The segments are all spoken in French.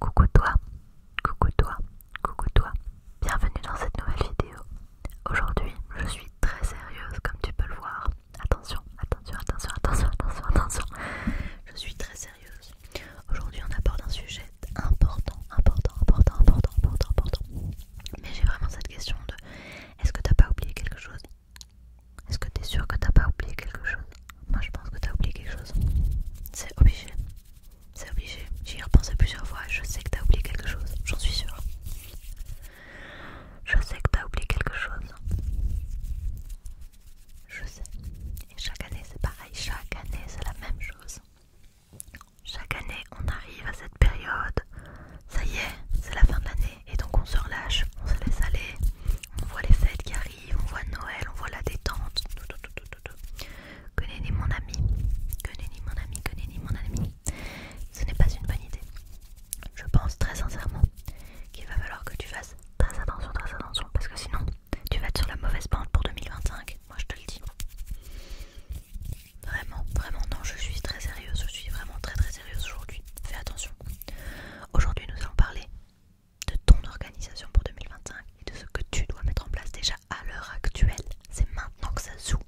Coucou toi, coucou toi, coucou toi, bienvenue dans cette nouvelle vidéo. Aujourd'hui, je suis très sérieuse comme tu peux le voir. Attention, attention, attention, attention, attention, attention. Je suis très sérieuse. Aujourd'hui, on aborde un sujet important, important, important, important, important, important. Mais j'ai vraiment cette question de est-ce que t'as pas oublié quelque chose est-ce que t'es sûr que t'as pas oublié quelque chose Moi je pense que t'as oublié quelque chose. C'est obligé. C'est obligé. J'y ai repensé plusieurs fois et je sais que t'as oublié quelque chose. J'en suis sûre. Je sais que t'as oublié quelque chose. Je sais. Et chaque année c'est pareil. Chaque année c'est la même chose. Chaque année on arrive à cette période. Ça y est, c'est la fin de l'année. Et donc on se relâche, on se laisse aller, on voit les fêtes qui arrivent, on voit Noël, on voit la détente. Que nenni mon ami, que nenni mon ami, que nenni mon ami. Ce n'est pas une bonne idée. Je pense très sincèrement qu'il va falloir que tu fasses très attention, très attention, parce que sinon tu vas être sur la mauvaise bande pour 2025. Moi je te le dis. Vraiment, vraiment, non, je suis très sérieuse, je suis vraiment très très sérieuse aujourd'hui. Fais attention. Aujourd'hui, nous allons parler de ton organisation pour 2025 et de ce que tu dois mettre en place déjà à l'heure actuelle. C'est maintenant que ça joue.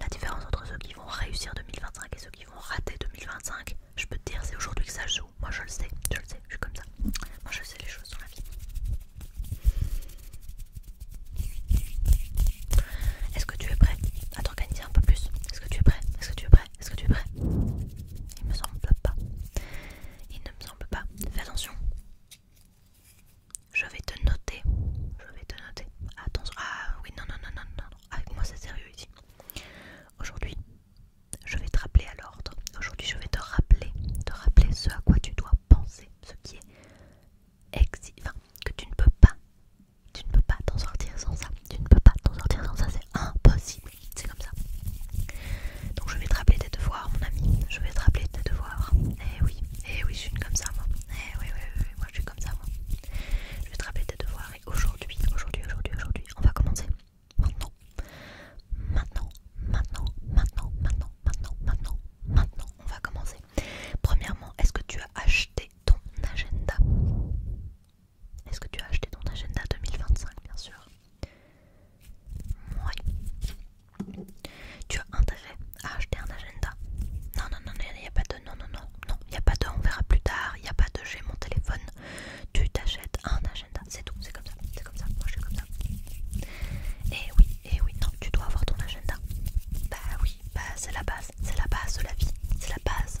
La différence entre ceux qui vont réussir 2025 et ceux qui vont rater 2025, je peux te dire, c'est aujourd'hui que ça joue. Moi, je le sais, je le sais, je suis comme ça. Moi, je sais les choses dans la vie. Est-ce que tu es prêt à t'organiser un peu plus Est-ce que tu es prêt Est-ce que tu es prêt est-ce que tu es prêt Il me semble pas. Il ne me semble pas. Fais attention. Je vais te noter. Je vais te noter. Attention. Ah oui, non, non, non, non, non. Avec ah, moi, c'est sérieux ici. Aujourd'hui, je vais te rappeler à l'ordre. Aujourd'hui, je vais te rappeler, te rappeler ce à quoi tu dois penser, ce qui est ex, enfin, que tu ne peux pas tu ne peux pas t'en sortir sans ça. Tu ne peux pas t'en sortir sans ça, c'est impossible. C'est comme ça. Donc je vais te rappeler tes devoirs, mon ami. Je vais te rappeler tes devoirs. Eh oui, eh oui, je suis comme ça, moi. Eh oui, oui, oui, moi je suis comme ça, moi. Je vais te rappeler tes devoirs. Et aujourd'hui, aujourd'hui, aujourd'hui, aujourd'hui, on va commencer. Maintenant. Maintenant, maintenant, maintenant, maintenant, maintenant, maintenant, maintenant, on va commencer. Premièrement, est-ce que tu as acheté ton agenda est-ce que tu as acheté ton agenda 2025 bien sûr Oui. Tu as intérêt à acheter un agenda Non, non, non, il n'y a pas de non, non, non, non, il n'y a pas de on verra plus tard, il n'y a pas de j'ai mon téléphone. Tu t'achètes un agenda, c'est tout, c'est comme ça, c'est comme ça, moi je suis comme ça. Et eh oui, et eh oui, non, tu dois avoir ton agenda. Bah oui, bah c'est la base, c'est la base de la vie, c'est la base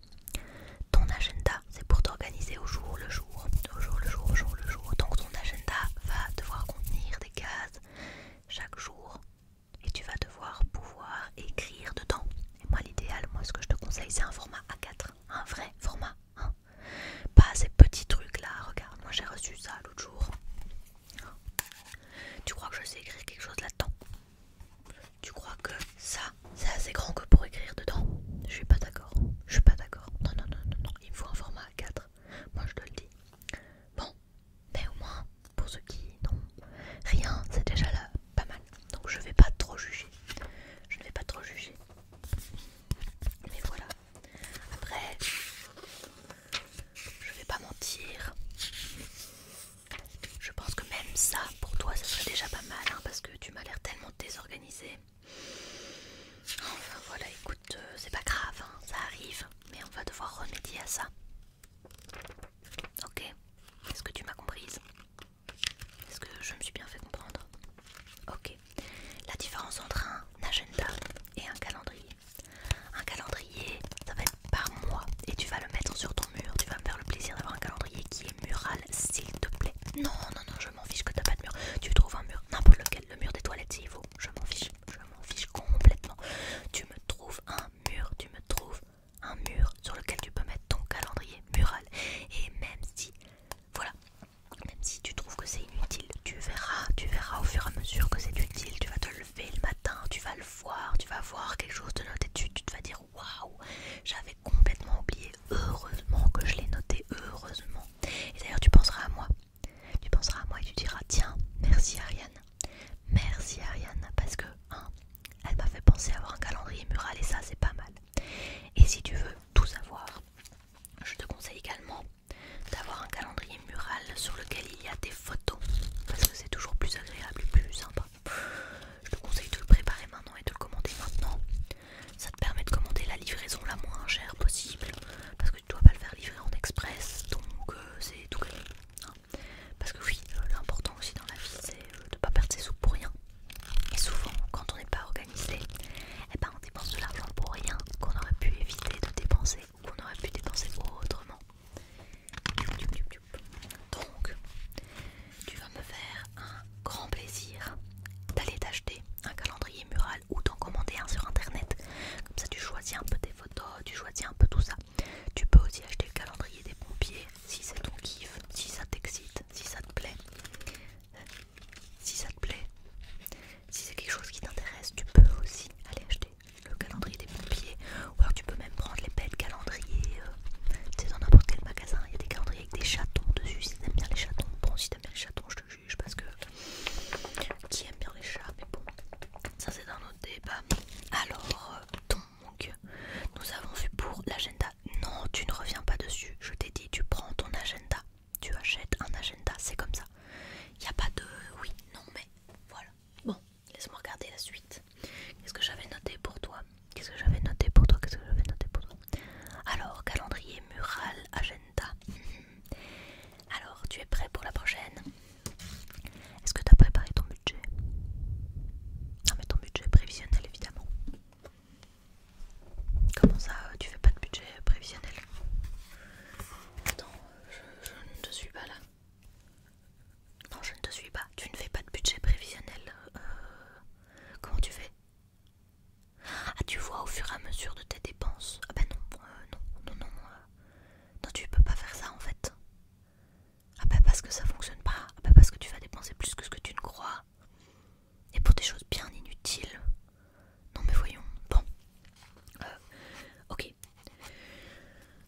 Ton agenda, c'est pour t'organiser au jour le jour, au jour le jour, au jour le jour. Donc ton agenda va devoir contenir des cases chaque jour et tu vas devoir pouvoir écrire dedans. Et moi l'idéal, moi ce que je te conseille, c'est un format A4, un vrai format. Hein. Pas ces petits trucs là, regarde, moi j'ai reçu ça l'autre jour. Tu crois que je sais écrire quelque chose là-dedans tu crois que ça, c'est assez grand que pour écrire dedans Je suis pas d'accord. Je suis pas d'accord. Non, non, non, non, non. Il me faut un format à 4 Moi, je te le dis. Bon, mais au moins, pour ceux qui n'ont rien, c'est déjà là, pas mal. Donc, je vais pas trop juger. Je ne vais pas trop juger. Mais voilà. Après, je vais pas mentir. Je pense que même ça, pour toi, ça serait déjà pas mal, hein, parce que tu m'as l'air tellement désorganisée. Enfin voilà, écoute, euh, c'est pas grave, hein, ça arrive, mais on va devoir remédier à ça. Ok, est-ce que tu m'as comprise Est-ce que je me suis bien fait comprendre Ok, la différence entre un agenda et un calendrier. Un calendrier, ça va être par mois et tu vas le mettre sur ton mur. Tu vas me faire le plaisir d'avoir un calendrier qui est mural, s'il te plaît. Non, non, non, je m'en fiche que t'as pas de mur. Tu trouves un mur, n'importe lequel, le mur des toilettes s'il faut. Je m'en fiche, je m'en fiche complètement. Tu me trouves un mur, tu me trouves un mur sur lequel tu peux mettre ton calendrier mural. Et même si, voilà, même si tu trouves que c'est inutile, tu verras, tu verras au fur et à mesure que c'est utile. Tu vas te lever le matin, tu vas le voir, tu vas voir quelque chose de notre étude, tu te vas dire waouh, j'avais complètement oublié. Heureusement que je l'ai noté, heureusement. Et d'ailleurs, tu penseras à moi. Tu penseras à moi et tu diras tiens, merci Ariane. Merci Ariane parce que hein, elle m'a fait penser à avoir un calendrier mural et ça c'est pas mal. Et si tu veux tout savoir, je te conseille également d'avoir un calendrier mural sur lequel il y a des photos parce que c'est toujours plus agréable, Et plus sympa. Je te conseille de le préparer maintenant et de le commander maintenant. Ça te permet de commander la livraison la moins chère possible parce que tu dois pas le faire livrer en express donc euh, c'est tout hein. parce que oui, euh, l'important aussi dans la vie c'est euh, de pas perdre ses sous pour rien. Et souvent, quand on n'est pas organisé, eh ben on dépense de l'argent pour rien qu'on aurait pu éviter de dépenser ou qu'on aurait pu dépenser autrement. Donc, tu vas me faire un grand plaisir d'aller t'acheter un calendrier mural ou d'en commander un sur internet. Comme ça, tu choisis un peu tes photos, tu choisis un peu tout ça. Tu peux aussi acheter le calendrier des pompiers si c'est ton kiff, si ça t'excite, si ça te plaît. Si ça te plaît, si c'est quelque chose qui t'intéresse, tu peux aussi aller acheter le calendrier des pompiers ou alors tu peux même prendre les belles calendriers. Euh, tu sais, dans n'importe quel magasin, il y a des calendriers avec des chatons dessus. Si t'aimes bien les chatons, bon, si t'aimes bien les chatons, je te juge parce que qui aime bien les chats, mais bon, ça c'est dans notre débat. Alors, euh, donc, nous avons vu pour l'agenda. Non, tu ne reviens pas dessus. Je t'ai dit, tu prends ton agenda. Tu achètes un agenda, c'est comme ça. Il n'y a pas de oui, non, mais voilà. Bon, laisse-moi regarder la suite. Qu'est-ce que j'avais noté pour toi Qu'est-ce que j'avais noté pour toi Qu'est-ce que j'avais noté pour toi Alors, calendrier mural, agenda. Mhm. Alors, tu es prêt pour la prochaine Est-ce que tu as préparé ton budget Non, mais ton budget prévisionnel, évidemment. Comment ça, euh, tu fais pas de budget prévisionnel Attends, je ne suis pas là. Non, je ne te suis pas. Tu ne fais pas de budget prévisionnel. Euh, comment tu fais Ah, tu vois au fur et à mesure de tes dépenses. Ah ben non, euh, non, non, non. Euh, non, tu peux pas faire ça en fait. Ah bah parce que ça fonctionne pas. Ah ben parce que tu vas dépenser plus que ce que tu ne crois. Et pour des choses bien inutiles. Non mais voyons. Bon. ok.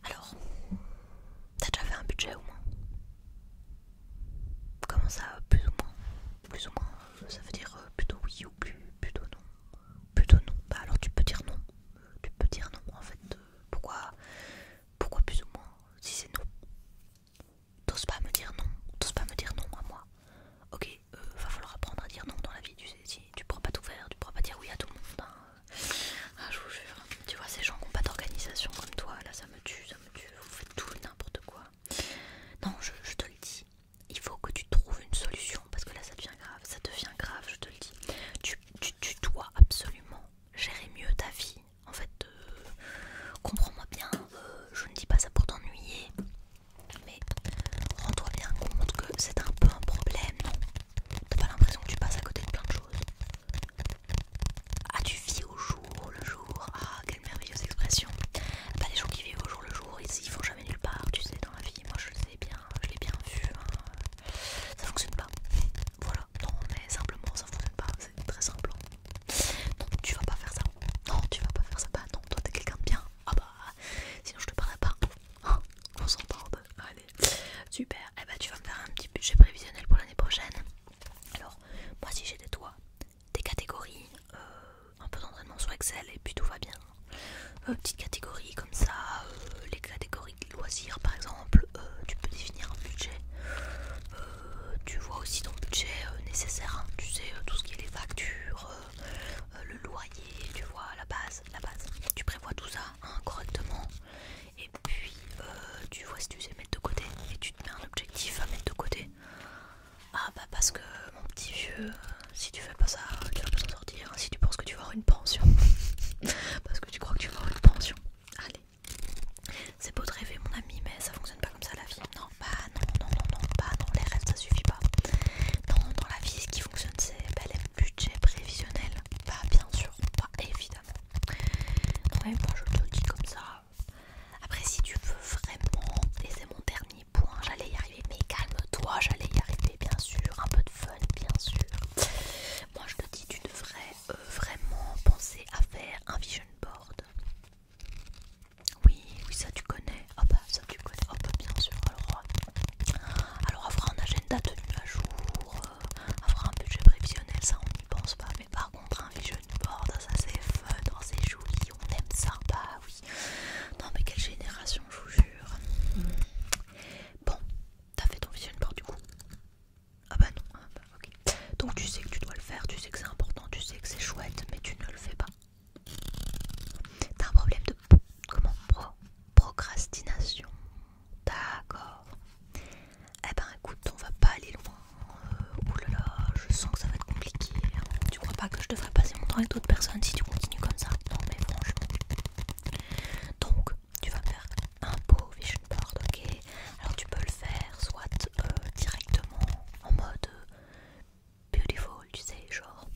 Alors, t'as déjà fait un budget au moins Comment ça, plus ou moins Plus ou moins, euh, ça veut dire euh, plutôt oui ou plus, plutôt non. Plutôt non. Bah alors tu peux dire non. Tu peux dire non en fait. Euh, pourquoi, pourquoi plus ou moins si c'est non T'oses pas me dire non. T'oses pas me dire non à moi. Ok, va falloir apprendre à dire non dans la vie. Tu ne tu pourras pas tout faire, tu pourras pas dire oui à tout le monde. Hein. je vous jure. Tu vois, ces gens qui n'ont pas d'organisation comme toi, là, ça me tue tu on fait tout n'importe quoi. Non, je, te le dis, il faut que tu trouves une solution parce que là ça devient grave, ça devient grave, je te le dis. Tu, dois absolument gérer mieux ta vie. En fait, euh, comprends-moi bien, euh, je ne dis pas ça pour t'ennuyer, mais rends-toi bien compte que c'est un peu un problème, non T'as pas l'impression que tu passes à côté de plein de choses ah, tu vis au jour le jour. Ah, quelle merveilleuse expression. Pas les gens qui vivent au jour le jour, ils, font jamais nulle part, tu sais, dans la vie. Moi, je sais bien, je l'ai bien vu. Hein. Ça fonctionne pas. Voilà, non, mais simplement, ça fonctionne pas. C'est très simple. Hein. Non, tu vas pas faire ça. Non, tu vas pas faire ça. Bah, non, toi, t'es quelqu'un de bien. Ah, bah, sinon, je te parlerai pas. Hein, on super. Eh bah, tu vas me faire un petit budget prévisionnel pour l'année prochaine. Alors, moi si j'ai des toits, des catégories, euh, un peu d'entraînement sur Excel et puis tout va bien. Euh, petites catégories comme ça, euh, les catégories de loisirs par exemple, tu peux définir un budget. tu vois aussi ton budget nécessaire, hein, tu sais, tout ce qui est les factures, le loyer, tu vois, la base, la base. Tu prévois tout ça hein, correctement et puis euh, tu vois si tu sais mettre de côté et tu te mets un objectif à mettre de côté. Ah bah parce que mon petit vieux, euh, si tu fais pas ça, tu vas pas s'en sortir. Hein. Si tu penses que tu vas avoir une pension, parce que tu crois que tu vas avoir une pension. Allez, c'est beau de rêver mon ami, mais ça fonctionne pas comme ça la vie. Non, bah non, non, non, non, bah non, les rêves ça suffit pas. Non, dans la vie ce qui fonctionne c'est ben, les budgets prévisionnels. Bah bien sûr, pas évidemment. Ouais, je te dis comme ça. Après, si tu veux vraiment, et c'est mon dernier point, j'allais y arriver, mais calme-toi, j'allais y arriver, bien sûr. Un peu de fun, bien sûr. Moi, je te dis, tu devrais euh, vraiment penser à faire un vision board. Oui, oui, ça tu connais. hop, ah bah, ça tu connais. hop, ah bah, bien sûr. Alors, euh, alors, fera un agenda tenu à jour, euh, avoir un budget prévisionnel, ça on n'y pense pas. Mais par contre, un vision board, ça c'est fun, oh, c'est joli, on aime ça, pas bah oui. Non, mais quelle génération, je vous jure. Bon, t'as fait ton vision board du coup Ah bah non, ah bah, ok. Donc tu sais que tu dois le faire, tu sais que c'est important, tu sais que c'est chouette, mais tu ne le fais pas. T'as un problème de comment procrastination. D'accord. Eh ben écoute, on va pas aller loin. Euh, Oulala, oh je sens que ça va être compliqué. Hein. Tu crois pas que je devrais passer mon temps avec d'autres personnes si tu continues comme ça Non mais franchement. Donc, tu vas faire un beau vision board, ok Alors tu peux le faire soit euh, directement en mode euh, beautiful, tu sais, genre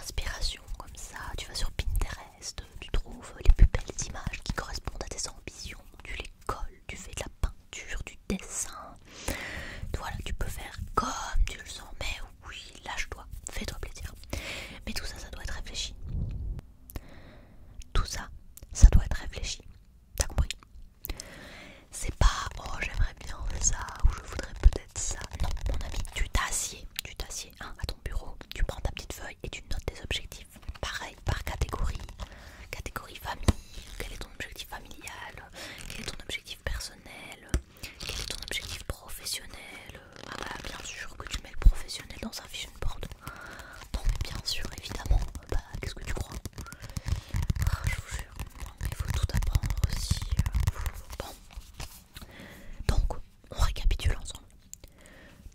inspiration comme ça. Tu vas sur Pinterest, tu trouves les plus belles images qui correspondent à tes ambitions, tu les colles, tu fais de la peinture du dessin. Voilà, tu peux faire comme tu le sens, mais oui, lâche-toi, fais-toi plaisir. Mais tout ça, ça doit être réfléchi. Tout ça, ça doit être réfléchi. T'as compris C'est pas oh j'aimerais bien ça ou je voudrais peut-être ça. Non, mon ami, tu t'assieds, tu t'assieds hein, à ton bureau, tu prends ta petite feuille et tu notes tes objectifs pareil par catégorie, catégorie famille, quel est ton objectif familial, quel est ton objectif personnel, quel est ton objectif professionnel, ah bah bien sûr que tu mets le professionnel dans un vision board, porte. Donc bien sûr évidemment, bah qu'est-ce que tu crois ah, Je vous jure, il faut tout apprendre aussi, bon, donc on récapitule ensemble.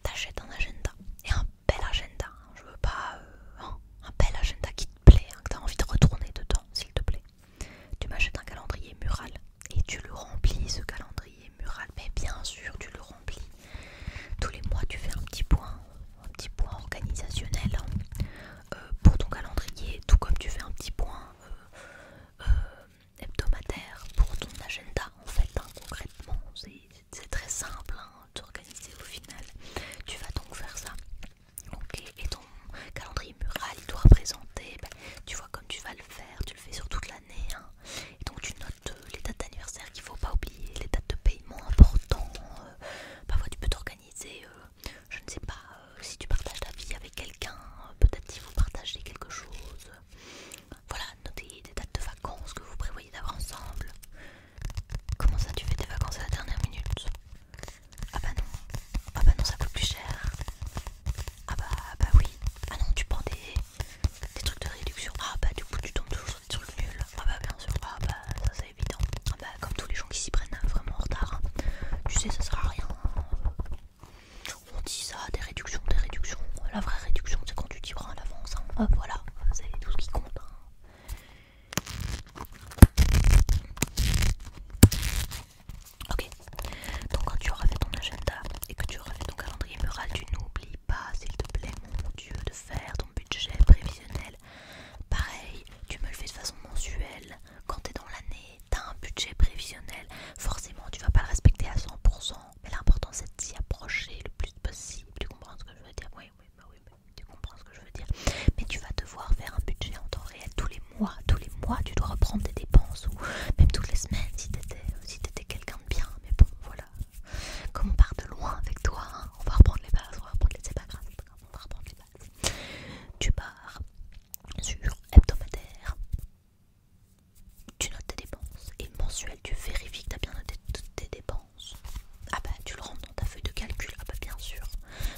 T'achètes un agenda et un bel agenda. Hein. Je veux pas euh, hein, un bel agenda qui te plaît, hein, que tu as envie de retourner dedans, s'il te plaît. Tu m'achètes un calendrier mural et tu le remplis, ce calendrier mural. Mais bien sûr, tu le remplis. Tous les mois, tu fais un petit point, un petit point organisationnel euh, pour ton calendrier, tout comme tu fais un petit point euh, hebdomadaire pour ton agenda, en fait, concrètement c'est très simple hein, d'organiser au final. Tu vas donc faire ça. et ton calendrier mural, il doit représenter, ben, tu vois comme tu vas le faire, tu le fais sur toute l'année. Hein. Et donc tu notes euh, les dates d'anniversaire qu'il ne faut pas oublier, les dates de paiement importants. Euh, parfois tu peux t'organiser, euh, je ne sais pas, si tu partages ta vie avec quelqu'un, peut-être si vous partagez quelque chose. Voilà, notez des dates de vacances que vous prévoyez d'avoir ensemble. Comment ça, tu fais tes vacances à la dernière minute Ah bah non. Ah bah non, ça coûte plus cher. Ah bah, ah bah oui. Ah non, tu prends des, trucs de réduction. Ah bah du coup, tu tombes toujours sur des trucs nuls. Ah bah bien sûr. Ah bah ça, c'est évident. Ah bah comme tous les gens qui s'y prennent euh, vraiment en retard. Tu sais, ça sert à rien. On dit ça, des réductions, des réductions. La vraie réduction, c'est quand tu t'y prends à l'avance. Hop, hein. ah, voilà, c'est tout ce qui compte. Hein. Ok, donc quand tu auras fait ton agenda et que tu auras fait ton calendrier mural, tu n'oublies pas, s'il te plaît, mon Dieu, de faire ton budget prévisionnel. Pareil, tu me le fais de façon mensuelle. Quand t'es dans l'année, t'as un budget prévisionnel. Forcément, tu vas pas le respecter à 100%, mais l'important c'est de s'y approcher le plus possible. Tu comprends ce que je veux dire Oui, oui, bah oui, tu comprends ce que je veux dire mais tu vas devoir faire un budget en temps réel tous les mois tous les mois tu dois reprendre tes dépenses ou même toutes les semaines si t'étais si quelqu'un de bien mais bon voilà comme on part de loin avec toi hein, on va reprendre les bases on va reprendre les pas on va reprendre les bases tu pars sur hebdomadaire tu notes tes dépenses et mensuel tu vérifies que tu as bien noté toutes tes dépenses ah bah tu le rends dans ta feuille de calcul, ah bah bien sûr.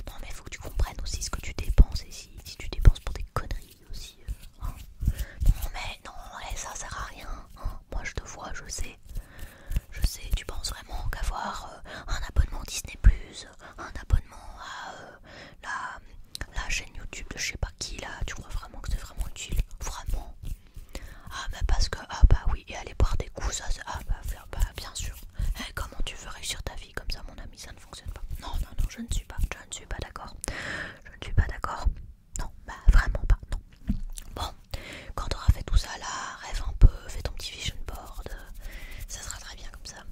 Non mais il faut que tu comprennes aussi ce que tu dépenses et si, tu dépenses pour des conneries aussi. Euh, hein. Non mais non, eh, ça sert à rien. Hein. Moi je te vois, je sais. Je sais, tu penses vraiment qu'avoir euh, un abonnement Disney Plus, un abonnement à euh, la, la chaîne YouTube de je sais pas qui là, tu crois vraiment que c'est vraiment utile Vraiment ah bah parce que ah bah oui et aller boire des coups ça, c'est... ah bah, faire, bah bien sûr. Eh, comment tu veux réussir ta vie comme ça mon ami ça ne fonctionne pas. Non non non je ne suis pas je ne suis pas d'accord. Je ne suis pas d'accord. Non bah vraiment pas non. Bon quand t'auras fait tout ça là rêve un peu fais ton petit vision board euh, ça sera très bien comme ça.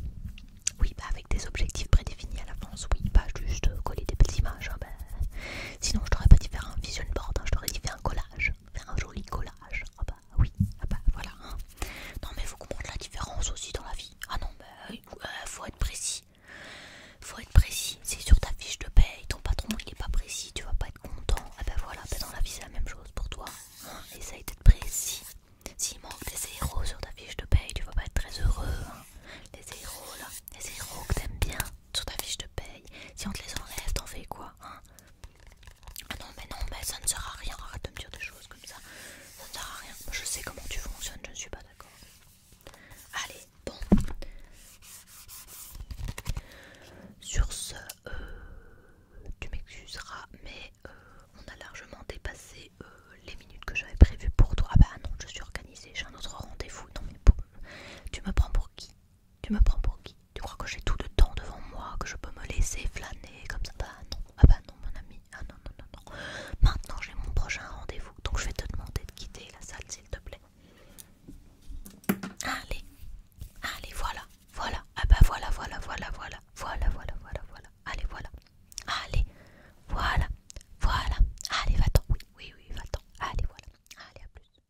Oui bah avec des objectifs prédéfinis à l'avance oui pas juste coller des petites images hein, bah. sinon je t'aurais pas dit faire un vision board hein, je t'aurais dit faire un collage un joli collage. Ah bah oui, ah bah voilà. Hein. Non mais faut comprendre la différence aussi dans la vie. Ah non, bah euh, euh, faut être précis. Faut être précis. C'est sur ta fiche de paye, ton patron il est pas précis, tu vas pas être content. Et ah bah voilà, bah dans la vie c'est la même chose pour toi. Hein. Essaye d'être précis. S'il manque des zéros sur ta fiche de paye, tu vas pas être très heureux. Hein. Les zéros là, les zéros que t'aimes bien sur ta fiche de paye. Si on te les enlève, t'en fais quoi hein ah non, mais non, mais ça ne sert à rien. de me dire des choses comme ça. Ça ne sert à rien. Je sais comment tu fonctionnes, je ne suis pas d'accord. Allez, bon. Sur ce, euh, tu m'excuseras, mais euh, on a largement dépassé euh, les minutes que j'avais prévues pour toi. Ah bah non, je suis organisée, j'ai un autre rendez-vous. dans mes tu me prends pour qui tu me prends pour qui Tu crois que j'ai tout le temps devant moi, que je peux me laisser flâner comme ça Bah non, ah bah non mon ami, ah non, non, non, non. Maintenant j'ai mon prochain rendez-vous, donc je vais te demander de quitter la salle s'il te plaît. Allez, allez, voilà, voilà, ah bah voilà, voilà, voilà, voilà, voilà, voilà, voilà, voilà, allez, voilà, allez, voilà, voilà, allez, va-t'en, oui, oui, oui, va-t'en, allez, voilà, allez, à plus.